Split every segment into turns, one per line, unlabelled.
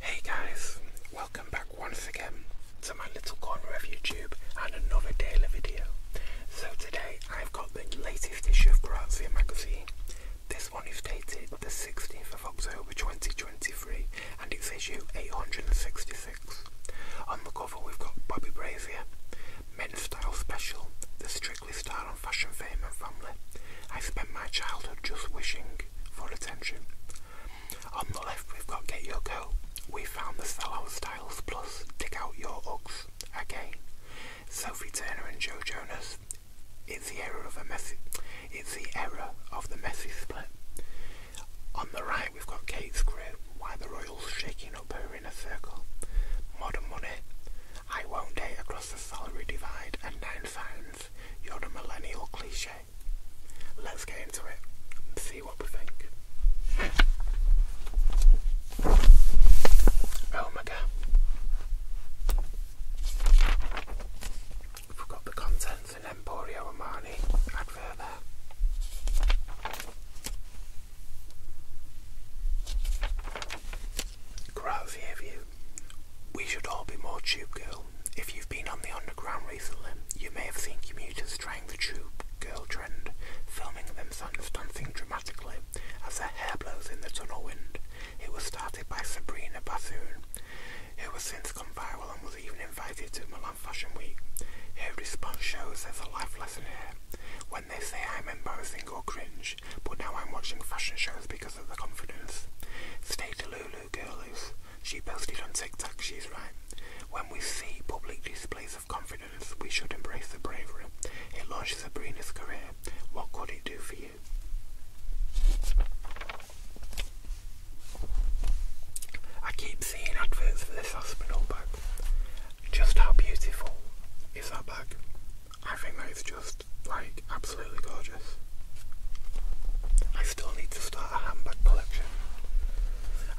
Hey guys, welcome back once again to my little corner of YouTube and another daily video. So today I've got the latest issue of Grazia magazine. This one is dated the 16th of October 2023 and it's issue 866. On the cover we've got Bobby Brazier Men's Style Special, the Strictly Style on Fashion Fame and Family. I spent my childhood just wishing for attention. On the left we've got Get Your Go. We found the Sellout Styles Plus, Dig Out Your Uggs, again. Sophie Turner and Joe Jonas. It's the era of a messy it's the era of the messy split. On the right we've got Kate's crew, why the Royals shaking up her in a circle. Modern money. I won't date across the salary divide and nine signs. You're a millennial cliche. Let's get into it and see what we think. Omega. Oh Forgot the contents in Emporio Armani advert there. Gravier View. We should all be more Tube Girl. If you've been on the underground recently, you may have seen commuters trying the Tube Girl trend, filming themselves dancing dramatically as their hair blows in the tunnel wind. It was started by Sabrina Bassoon, It has since gone viral and was even invited to Milan Fashion Week. Every response shows there's a life lesson here when they say I'm embarrassing or cringe, but now I'm watching fashion shows because of the confidence. Stay to Lulu girlies. She posted on TikTok, she's right. When we see public displays of confidence, we should embrace the bravery. It launched Sabrina's career. What could it do for you? I keep seeing adverts for this hospital bag. Just how beautiful is that bag? I think that is just like absolutely gorgeous. I still need to start a handbag collection.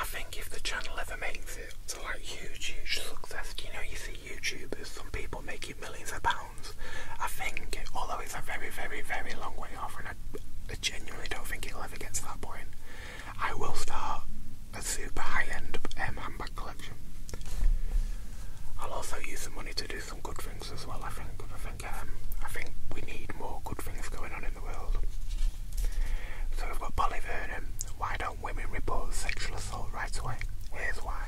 I think if the channel ever makes it to like huge, huge success, you know, you see YouTubers, some people making millions of pounds. I think, although it's a very, very, very long way off, and I, I genuinely don't think it'll ever get to that point. I will start a super high-end um, handbag collection. I'll also use the money to do some good things as well. I think. I think. Um, I think we need more good things going on in the world. So we've got Polly Vernon. Why don't women report sexual assault right away? Here's why.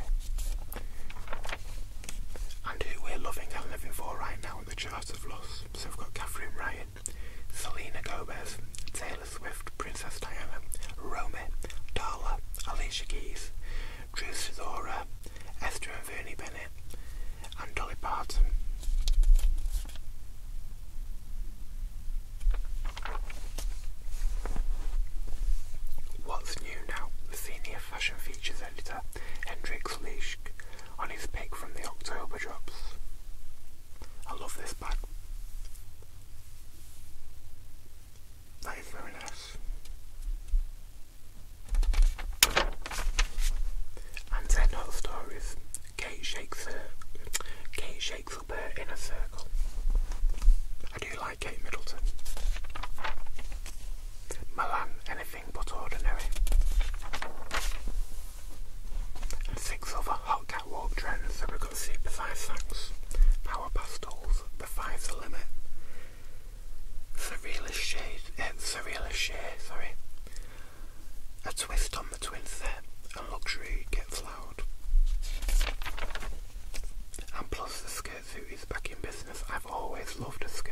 And who we're loving and living for right now at the chart of loss. So we've got Catherine Ryan, Selena Gomez, Taylor the Swift, Princess Diana, Romy, Darla, Alicia Keys, Drew Sidora, Esther and Vernie Bennett, and Dolly Parton. What's new now? The senior fashion features editor, Hendrik Leisch, on his pick from the October drops. I love this bag. That is very nice. And then another story Kate shakes her Kate shakes up her inner circle. I do like Kate Middleton. Milan, anything but ordinary. And six other hot catwalk trends super size sacks, power pastels, the five's the limit. Surrealist shade, surrealist shade, sorry. A twist on the twin set, A luxury gets floured. And plus the skirt suit is back in business. I've always loved a suit.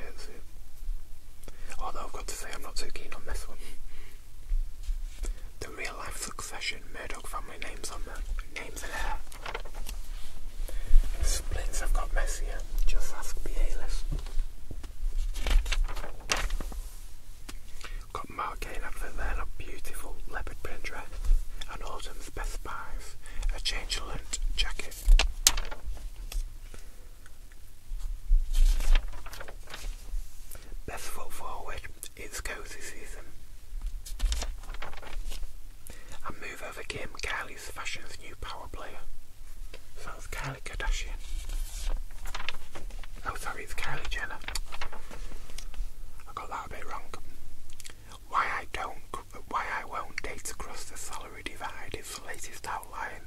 Although I've got to say I'm not too keen on this one. The real life succession Murdoch family names on the names and hair. The have got messier, just ask the Got Mark up for then a beautiful leopard print dress, an autumn's best buys, a changelant jacket. Best foot forward, it's go season. And move over Kim, Kylie's fashion's new power player. So it's Kardashian. Oh, sorry, it's Kylie Jenner. I got that bit wrong. Why I don't, why I won't date across the salary divide is the latest outline.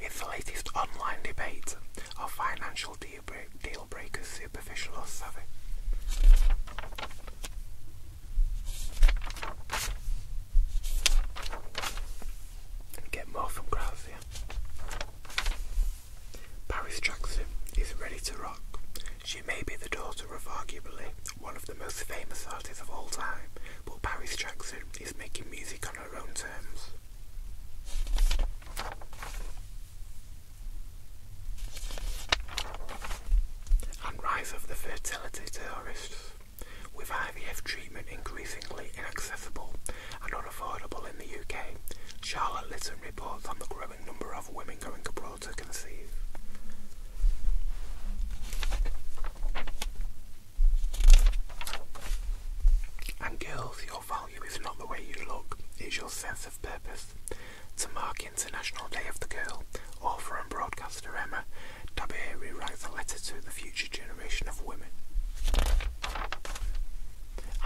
It's the latest online debate of financial Get more from Grazia. Paris Jackson is ready to rock. She may be the daughter of arguably one of the most famous artists of all time, but Paris Jackson is making music on her own terms and rise of the fertility terrorists, with IVF treatment increasingly inaccessible and unaffordable in the UK. Charlotte Litten reports on the growing number of women going abroad to conceive. And girls, your value is not the way you look, it's your sense to mark International Day of the Girl, author and broadcaster Emma Tabieri writes a letter to the future generation of women.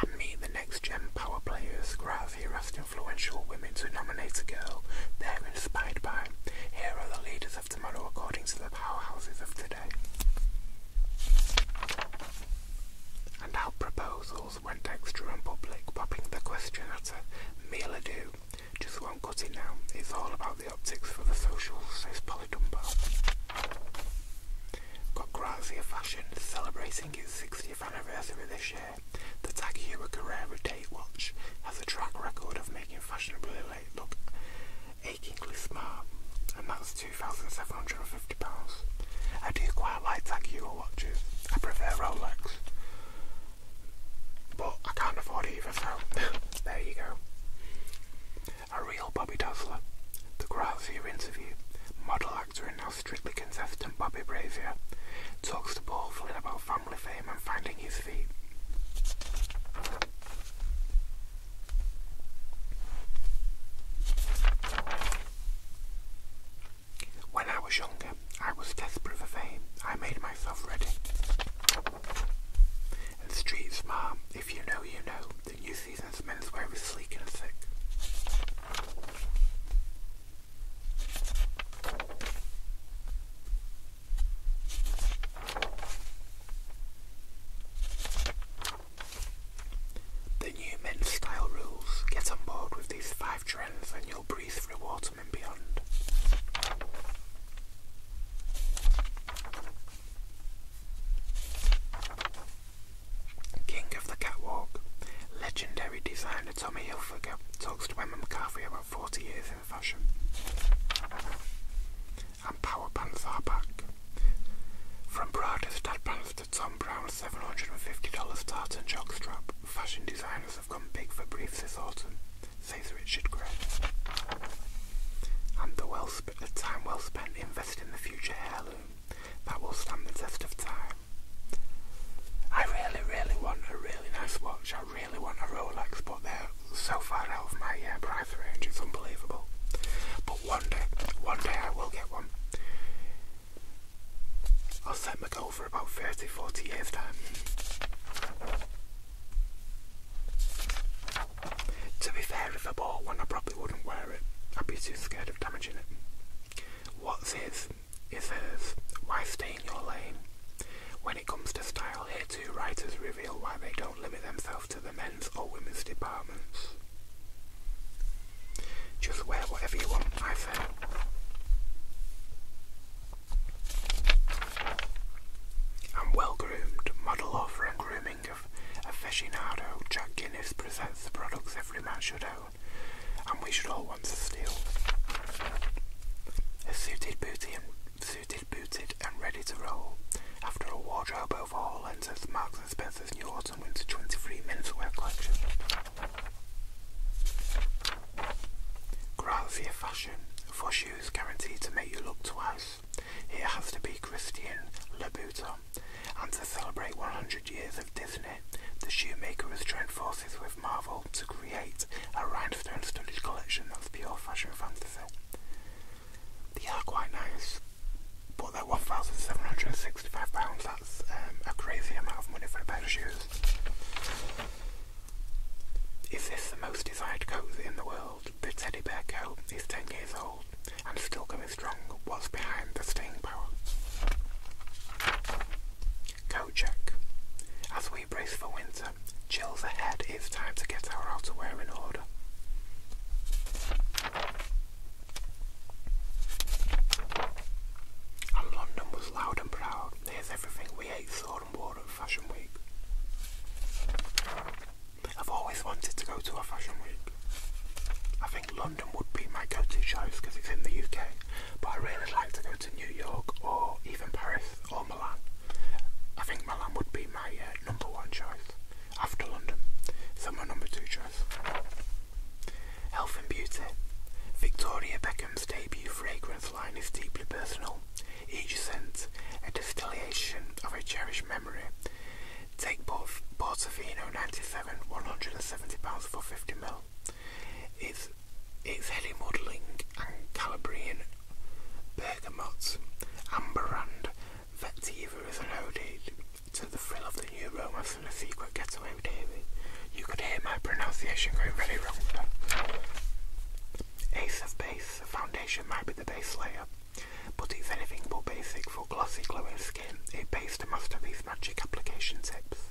And meet the next gen power players. Grav here influential women to nominate a girl they're inspired by. Here are the leaders of tomorrow according to the powerhouses of today. And I'll went extra and public, popping the question at a meal ado. Just won't cut it now. It's all about the optics for the socials, It's Polly Dumbo. Got Grazia Fashion celebrating its 60th anniversary this year. The Tag Heuer Carrera date watch has a track record of making fashionably late look achingly smart, and that's £2,750. I uh, do quite like Takeo watches. I prefer Rolex. But I can't afford either, so there you go. A real Bobby Duffler. The Grazier interview. Model actor and now strictly contestant Bobby Brazier talks to Paul Flynn about family fame and finding his feet. When I was younger, I was desperate for fame. I made myself ready. And street smart, if you know, you know. The new season's menswear is sleek and thick. The new men's style rules. Get on board with these five trends and you'll breathe through watermen beyond. King of the Catwalk. Legendary designer Tommy Hilfiger talks to Emma McCarthy about 40 years in fashion. And power pants are back. From Prada's a Tom Brown $750 tartan strap. Fashion designers have gone big for briefs this autumn, says Richard Gray. And the well time well spent invested in the future heirloom that will stand the test of time. I really, really want a really nice watch. I really want a Rolex, but they're so far out of my uh, price range, it's unbelievable. But one day, one day I will get one. I'll set my goal for about 30 40 years time. To be fair, if I bought one, I probably wouldn't wear it. I'd be too scared of damaging it. What's his is hers. Why stay in your lane? When it comes to style, here two writers reveal why they don't limit themselves to the men's or women's departments. Just wear whatever you want, I feel. I'm well groomed, model offer and grooming of aficionado. Jack Guinness presents the products every man should own, and we should all want to steal. A suited, booty and, booted, and ready to roll. After a wardrobe overhaul enters Mark Spencer's new autumn winter 23 menswear collection. Grazia Fashion, for shoes guaranteed to make you look twice. It has to be Christian Louboutin. And to celebrate 100 years of Disney, the shoemaker has joined forces with Marvel to create a rhinestone studded collection of pure fashion fantasy. These are quite nice. But they're £1,765. That's um, a crazy amount of money for a pair of shoes. Is this the most desired coat in the world? The teddy bear coat is 10 years old and still going strong. What's behind the staying power? Coat check. As we brace for winter, chills ahead, it's time to get our outerwear in order. And London was loud and proud. There's everything we ate, saw and wore at Fashion Week. I've always wanted to go to a Fashion Week. I think London would be my go-to choice because it's in the UK, but I really like to go to New York or even Paris or Milan. I think Milan would be my uh, number one choice after London. So my number two choice. Health and Beauty. Victoria Beckham's debut fragrance line is deeply personal. Each scent, a distillation of a cherished memory. Take both Portofino 97, £170 for 50ml. It's, it's heady muddling and Calabrian bergamot, amber and vetiver is an ode to the thrill of the new romance and a secret getaway with Davy. You could hear my pronunciation going very wrong Ace of base, the foundation might be the base layer, but it's anything but basic for glossy glowing skin. It pays to master these magic application tips.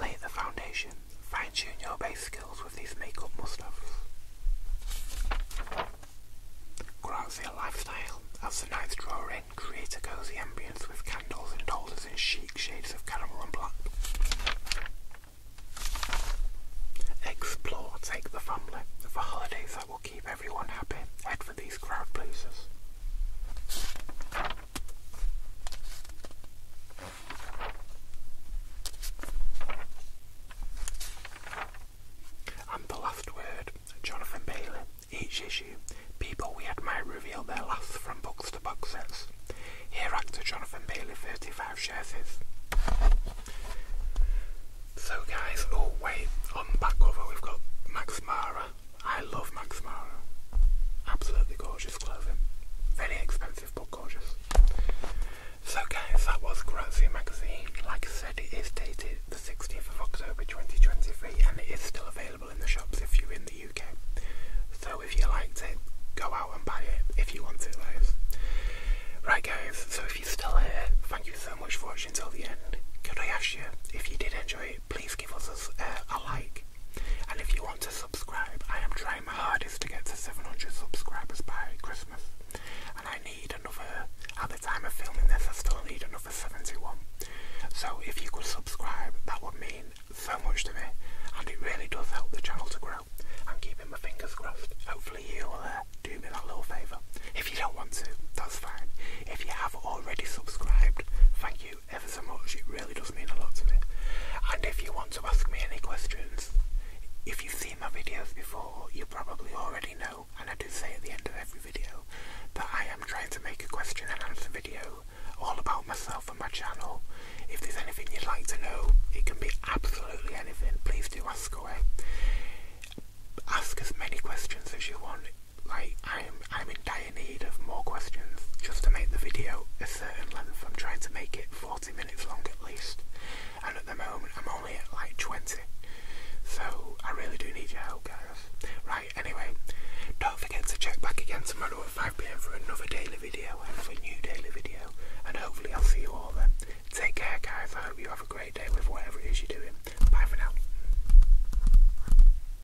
Lay the foundation, fine-tune your base skills with these makeup must-haves. Grant your lifestyle. As the nights draw in, create a cosy ambience with candles and holders in chic shades of caramel and black. Explore, take the family. For holidays that will keep everyone happy, head for these crowd pleasers. And the last word, Jonathan Bailey. Each issue, people we admire reveal their last from books to box sets. Here, actor Jonathan Bailey, 35 shares So, guys, oh wait, on back cover we've got Max Mara I love Max Mara. Absolutely gorgeous clothing. Very expensive but gorgeous. So guys, that was Grazia magazine. Like I said, it is dated the 16th of October 2023 and it is still available in the shops if you're in the UK. So if you liked it, go out and buy it if you want to guys. Right guys, so if you're still here, thank you so much for watching till the end. Could I ask you, if you did enjoy it, please give us a uh, like and if you want to subscribe, I am trying my hardest to get to 700 subscribers by Christmas. And I need another, at the time of filming this, I still need another 71. So if you could subscribe, that would mean so much to me. And it really does help the channel to grow. I'm keeping my fingers crossed. Hopefully you'll uh, do me that little favour. If you don't want to, that's fine. If you have already subscribed, thank you ever so much. It really does mean a lot to me. And if you want to ask me any questions, if you've seen my videos before, you probably already know, and I do say at the end of every video, that I am trying to make a question and answer video all about myself and my channel. If there's anything you'd like to know, it can be absolutely anything, please do ask away. Ask as many questions as you want like I'm I'm in dire need of more questions just to make the video a certain length. I'm trying to make it 40 minutes long at least, and at the moment I'm only at like 20. So I really do need your help, guys. Right, anyway, don't forget to check back again tomorrow at 5 pm for another daily video, another new daily video, and hopefully I'll see you all then. Take care, guys. I hope you have a great day with whatever it is you're doing. Bye for now.